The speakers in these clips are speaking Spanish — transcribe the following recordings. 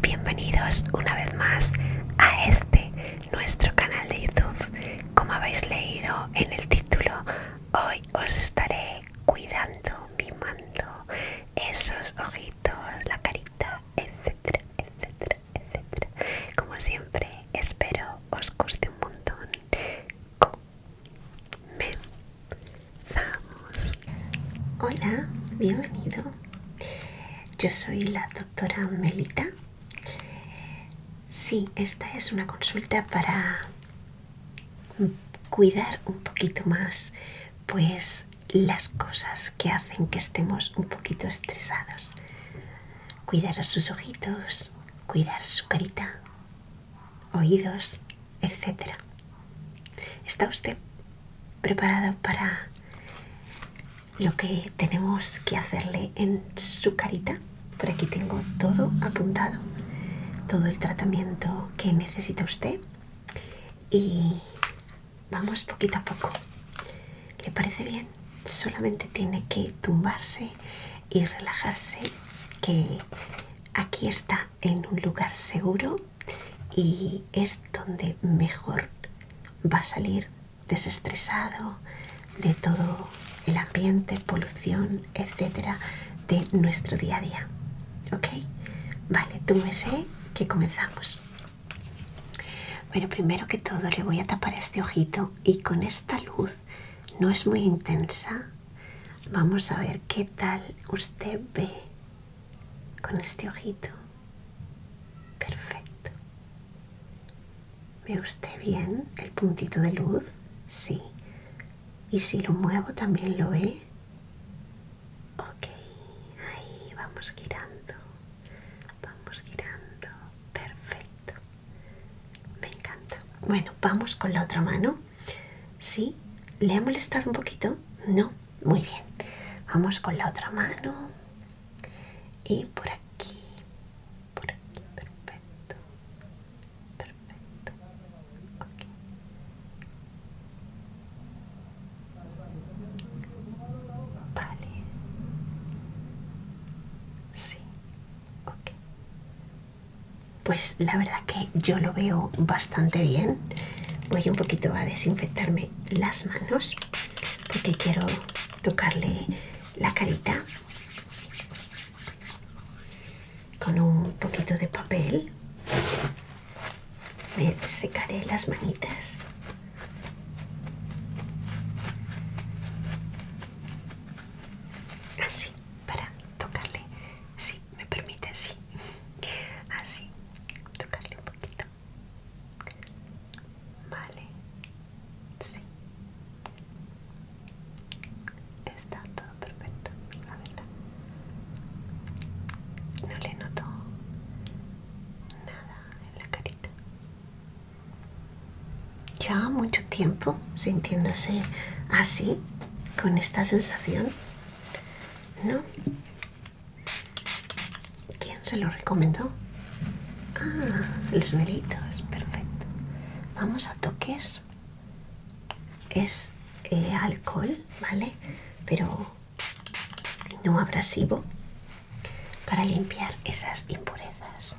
Bienvenidos una vez más a este nuestro canal de YouTube. Como habéis leído en el título, hoy os estaré cuidando, mimando esos ojitos, la carita, etc etcétera, etcétera. Como siempre, espero os guste un montón comenzamos. Hola, bienvenido. Yo soy la doctora Melita. Sí, esta es una consulta para cuidar un poquito más, pues las cosas que hacen que estemos un poquito estresadas Cuidar a sus ojitos, cuidar su carita, oídos, etc. ¿Está usted preparado para lo que tenemos que hacerle en su carita? Por aquí tengo todo apuntado, todo el tratamiento que necesita usted y vamos poquito a poco. ¿Le parece bien? solamente tiene que tumbarse y relajarse que aquí está en un lugar seguro y es donde mejor va a salir desestresado de todo el ambiente, polución, etcétera de nuestro día a día. ¿Ok? Vale, túmese que comenzamos. Bueno, primero que todo le voy a tapar este ojito y con esta luz no es muy intensa. Vamos a ver qué tal usted ve con este ojito. Perfecto. ¿Ve usted bien el puntito de luz? Sí. ¿Y si lo muevo también lo ve? Ok, ahí vamos girando. Vamos girando. Perfecto. Me encanta. Bueno, vamos con la otra mano. ¿Sí? ¿Le ha molestado un poquito? No. Muy bien. Vamos con la otra mano. Y por aquí. Por aquí. Perfecto. Perfecto. Ok. Vale. Sí. Pues la verdad que yo lo veo bastante bien. Voy un poquito a desinfectarme las manos porque quiero tocarle la carita con un poquito de papel. Me secaré las manitas. Así, para tocarle, si me permite, sí. Así, tocarle un poquito. Vale, sí. Está todo perfecto, la verdad. No le noto nada en la carita ya mucho tiempo sintiéndose así, con esta sensación, ¿no? ¿Quién se lo recomendó? Ah, los melitos, perfecto. Vamos a toques. Es eh, alcohol, ¿vale? Pero no abrasivo para limpiar esas impurezas.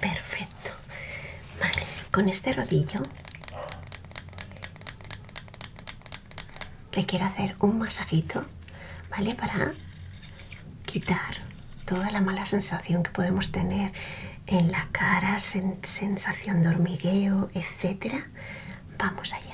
Perfecto. Vale, con este rodillo le quiero hacer un masajito, ¿vale? Para quitar toda la mala sensación que podemos tener en la cara, sensación de hormigueo, etcétera. Vamos allá.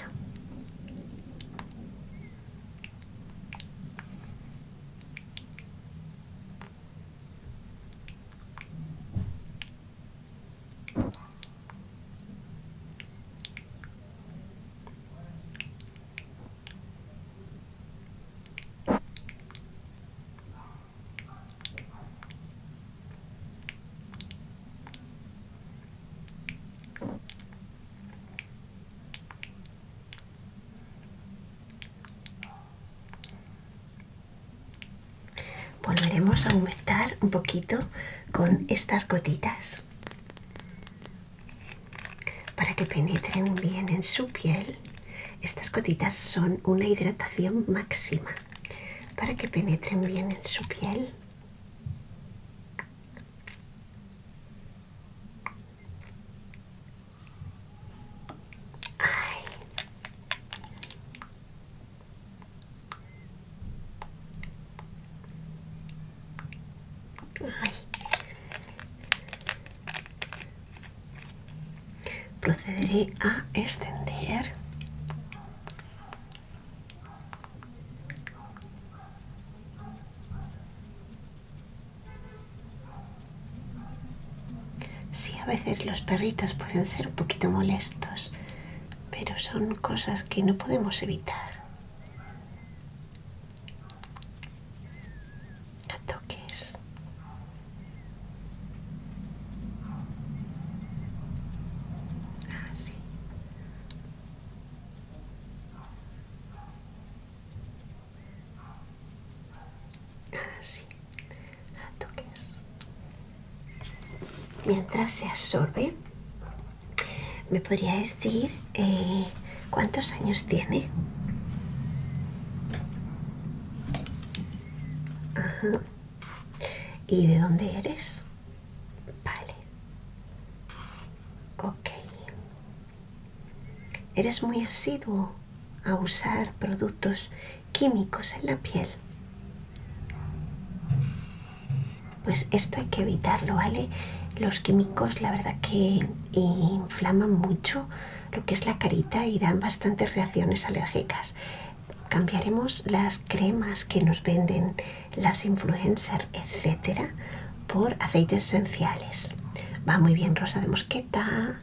Volveremos a aumentar un poquito con estas gotitas para que penetren bien en su piel. Estas gotitas son una hidratación máxima para que penetren bien en su piel procederé a extender Sí, a veces los perritos pueden ser un poquito molestos, pero son cosas que no podemos evitar. A toques. Ah, ah, ah, toques. Mientras se absorbe, ¿me podría decir eh, cuántos años tiene? Ajá. ¿Y de dónde eres? Vale. Ok. ¿Eres muy asiduo a usar productos químicos en la piel? Pues esto hay que evitarlo, ¿vale? Los químicos la verdad que inflaman mucho lo que es la carita y dan bastantes reacciones alérgicas cambiaremos las cremas que nos venden las influencers, etcétera, por aceites esenciales. Va muy bien rosa de mosqueta,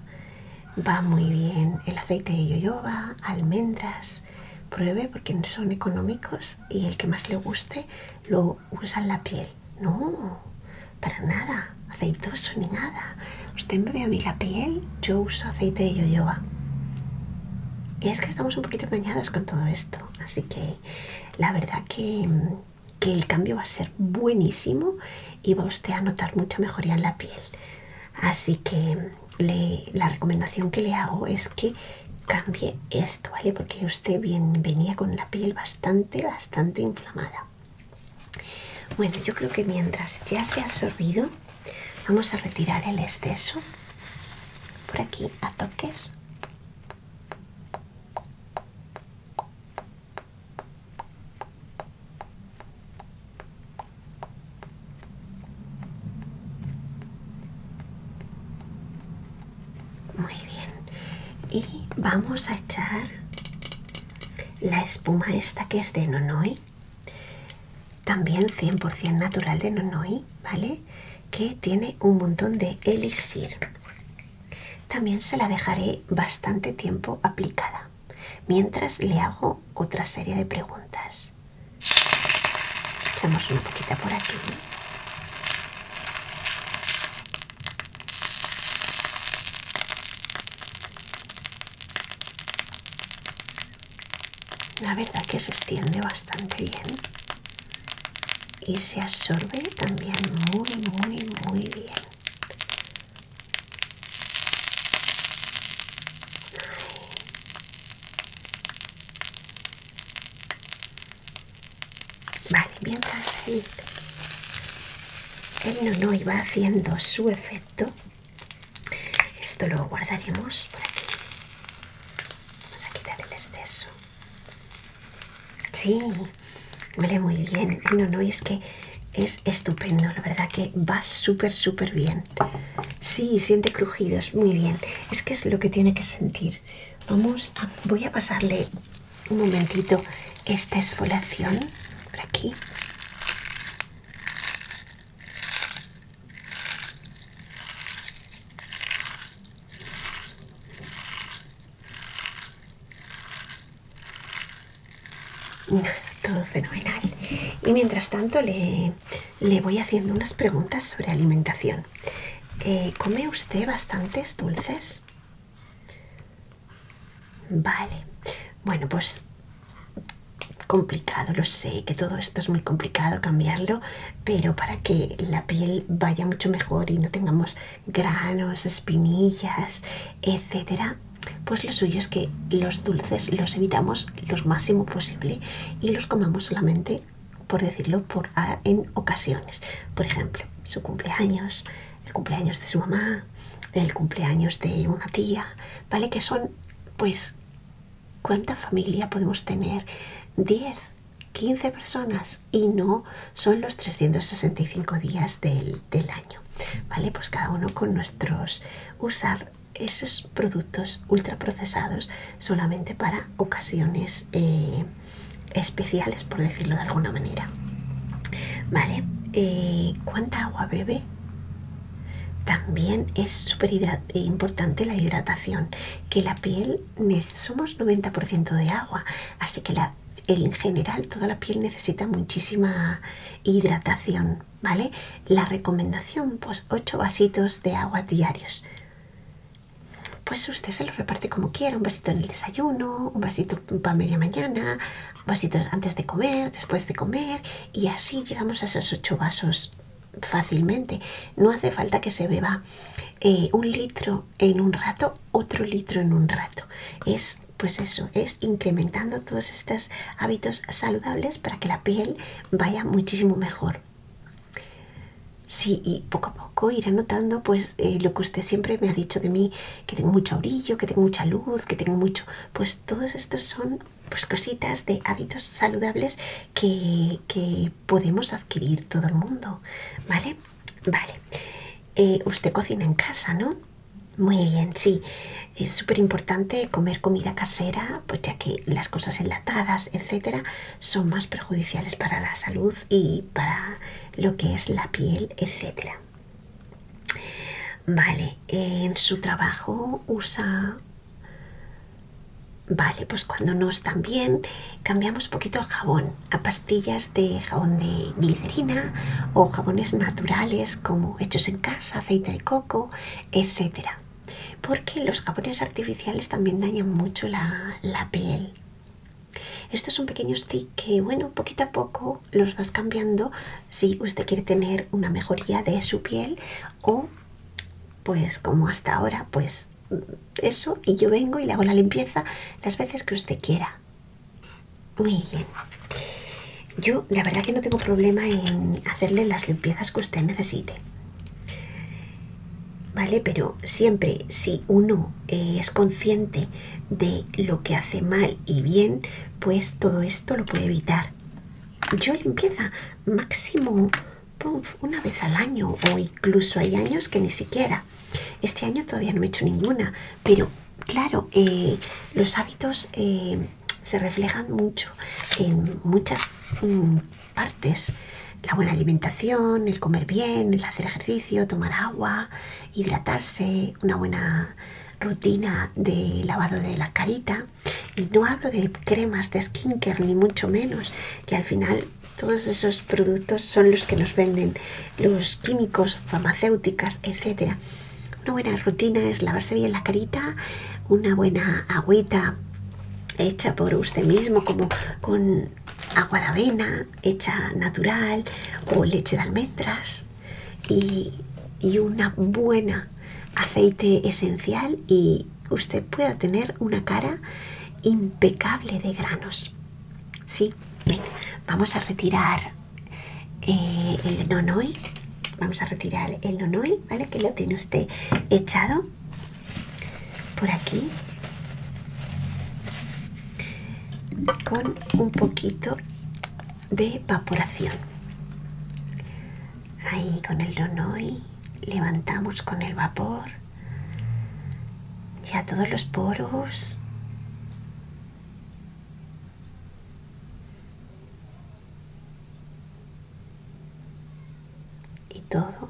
va muy bien el aceite de yoyoba, almendras. Pruebe porque son económicos y el que más le guste lo usa en la piel. No, para nada, aceitoso ni nada usted me la piel, yo uso aceite de jojoba Y es que estamos un poquito engañados con todo esto, así que la verdad que, el cambio va a ser buenísimo y va usted a notar mucha mejoría en la piel. Así que la recomendación que le hago es que cambie esto, ¿vale? Porque usted venía con la piel bastante, bastante inflamada. Bueno, yo creo que mientras ya se ha absorbido, vamos a retirar el exceso por aquí a toques. Muy bien. Y vamos a echar la espuma esta que es de Nonoi también 100% natural de Nonoi, ¿vale? Que tiene un montón de elixir. También se la dejaré bastante tiempo aplicada, mientras le hago otra serie de preguntas. Echamos una poquita por aquí. La verdad que se extiende bastante bien y se absorbe también muy, muy, muy bien. Vale, mientras él, él no, no iba haciendo su efecto, esto lo guardaremos por aquí. Vamos a quitar el exceso. Sí, huele muy bien. No, no, es que es estupendo. La verdad que va súper, súper bien. Sí, siente crujidos. Muy bien. Es que es lo que tiene que sentir. Vamos a... Voy a pasarle un momentito esta esfolación por aquí todo fenomenal. Y mientras tanto le, voy haciendo unas preguntas sobre alimentación. Eh, ¿Come usted bastantes dulces? Vale, bueno, pues complicado, lo sé, que todo esto es muy complicado cambiarlo, pero para que la piel vaya mucho mejor y no tengamos granos, espinillas, etcétera, pues lo suyo es que los dulces los evitamos lo máximo posible y los comamos solamente, por decirlo, ah, en ocasiones. Por ejemplo, su cumpleaños, el cumpleaños de su mamá, el cumpleaños de una tía, ¿vale? Que son, pues, ¿cuánta familia podemos tener? 10, 15 personas y no son los 365 días del, año, ¿vale? Pues cada uno con nuestros, usar esos productos procesados solamente para ocasiones eh, especiales, por decirlo de alguna manera. ¿Vale? Eh, ¿Cuánta agua bebe? También es súper importante la hidratación, que la piel somos 90% de agua, así que en general toda la piel necesita muchísima hidratación, ¿vale? La recomendación, pues 8 vasitos de agua diarios. Pues usted se los reparte como quiera, un vasito en el desayuno, un vasito para media mañana, vasitos antes de comer, después de comer, y así llegamos a esos ocho vasos fácilmente. No hace falta que se beba eh, un litro en un rato, otro litro en un rato. Es pues eso, es incrementando todos estos hábitos saludables para que la piel vaya muchísimo mejor. Sí, y poco a poco iré notando pues eh, lo que usted siempre me ha dicho de mí, que tengo mucho orillo, que tengo mucha luz, que tengo mucho... Pues todos estos son pues, cositas de hábitos saludables que, podemos adquirir todo el mundo, ¿vale? Vale. Eh, usted cocina en casa, ¿no? Muy bien, sí. Es súper importante comer comida casera, pues ya que las cosas enlatadas, etcétera, son más perjudiciales para la salud y para lo que es la piel, etcétera. Vale, en su trabajo usa... Vale, pues cuando no están bien cambiamos poquito el jabón a pastillas de jabón de glicerina o jabones naturales como hechos en casa, aceite de coco, etcétera, Porque los jabones artificiales también dañan mucho la piel. Estos son pequeños tips que, bueno, poquito a poco los vas cambiando si usted quiere tener una mejoría de su piel o, pues, como hasta ahora, pues eso y yo vengo y le hago la limpieza las veces que usted quiera. Muy bien. Yo, la verdad, que no tengo problema en hacerle las limpiezas que usted necesite. ¿Vale? Pero siempre, si uno eh, es consciente de lo que hace mal y bien, pues todo esto lo puede evitar. Yo limpieza máximo una vez al año o incluso hay años que ni siquiera. Este año todavía no he hecho ninguna, pero claro, eh, los hábitos eh, se reflejan mucho en muchas mm, partes. La buena alimentación, el comer bien, el hacer ejercicio, tomar agua, hidratarse, una buena rutina de lavado de la carita y no hablo de cremas de skincare ni mucho menos que al final todos esos productos son los que nos venden los químicos farmacéuticas etcétera una buena rutina es lavarse bien la carita una buena agüita hecha por usted mismo como con agua de avena hecha natural o leche de almendras y, una buena aceite esencial y usted pueda tener una cara impecable de granos. Sí, eh, vamos a retirar el nonoi. Vamos a retirar el nonoi, ¿vale? Que lo tiene usted echado por aquí con un poquito de evaporación. Ahí con el y levantamos con el vapor ya todos los poros. y todo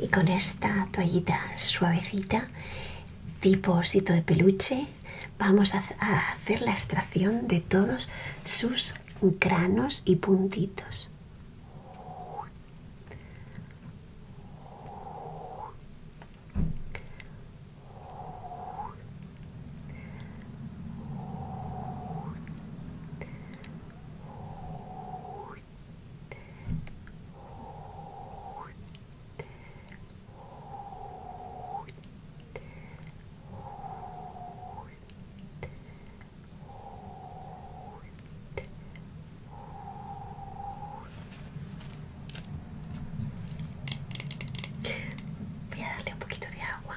Y con esta toallita suavecita, tipo osito de peluche, vamos a, hacer la extracción de todos sus granos y puntitos. Voy a darle un poquito de agua.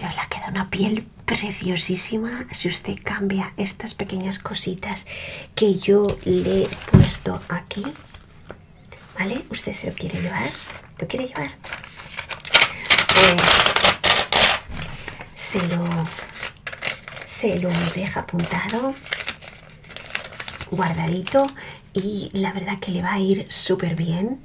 Ya le queda una piel preciosísima si usted cambia estas pequeñas cositas que yo le he puesto aquí. ¿Vale? Usted se lo quiere llevar lo quiere llevar pues se lo se lo deja apuntado guardadito y la verdad que le va a ir súper bien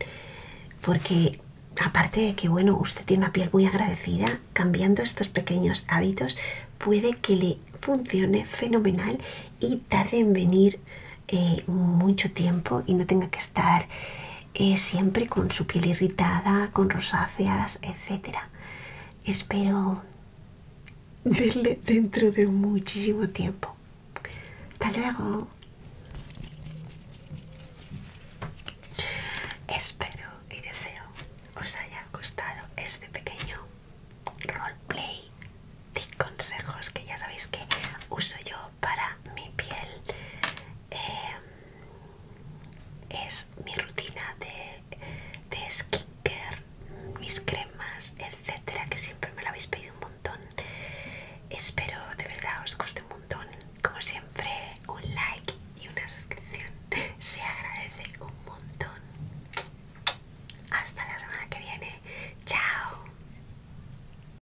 porque aparte de que bueno usted tiene una piel muy agradecida cambiando estos pequeños hábitos puede que le funcione fenomenal y tarde en venir eh, mucho tiempo y no tenga que estar eh, siempre con su piel irritada, con rosáceas, etc. Espero verle dentro de muchísimo tiempo. Hasta luego. Espero y deseo os haya gustado este pequeño roleplay de consejos que ya sabéis que uso yo para mi piel eh, es mi rutina de, de skincare, mis cremas, etcétera, que siempre me lo habéis pedido un montón. Espero de verdad os guste un montón. Como siempre, un like y una suscripción se agradece un montón. Hasta la semana que viene. Chao.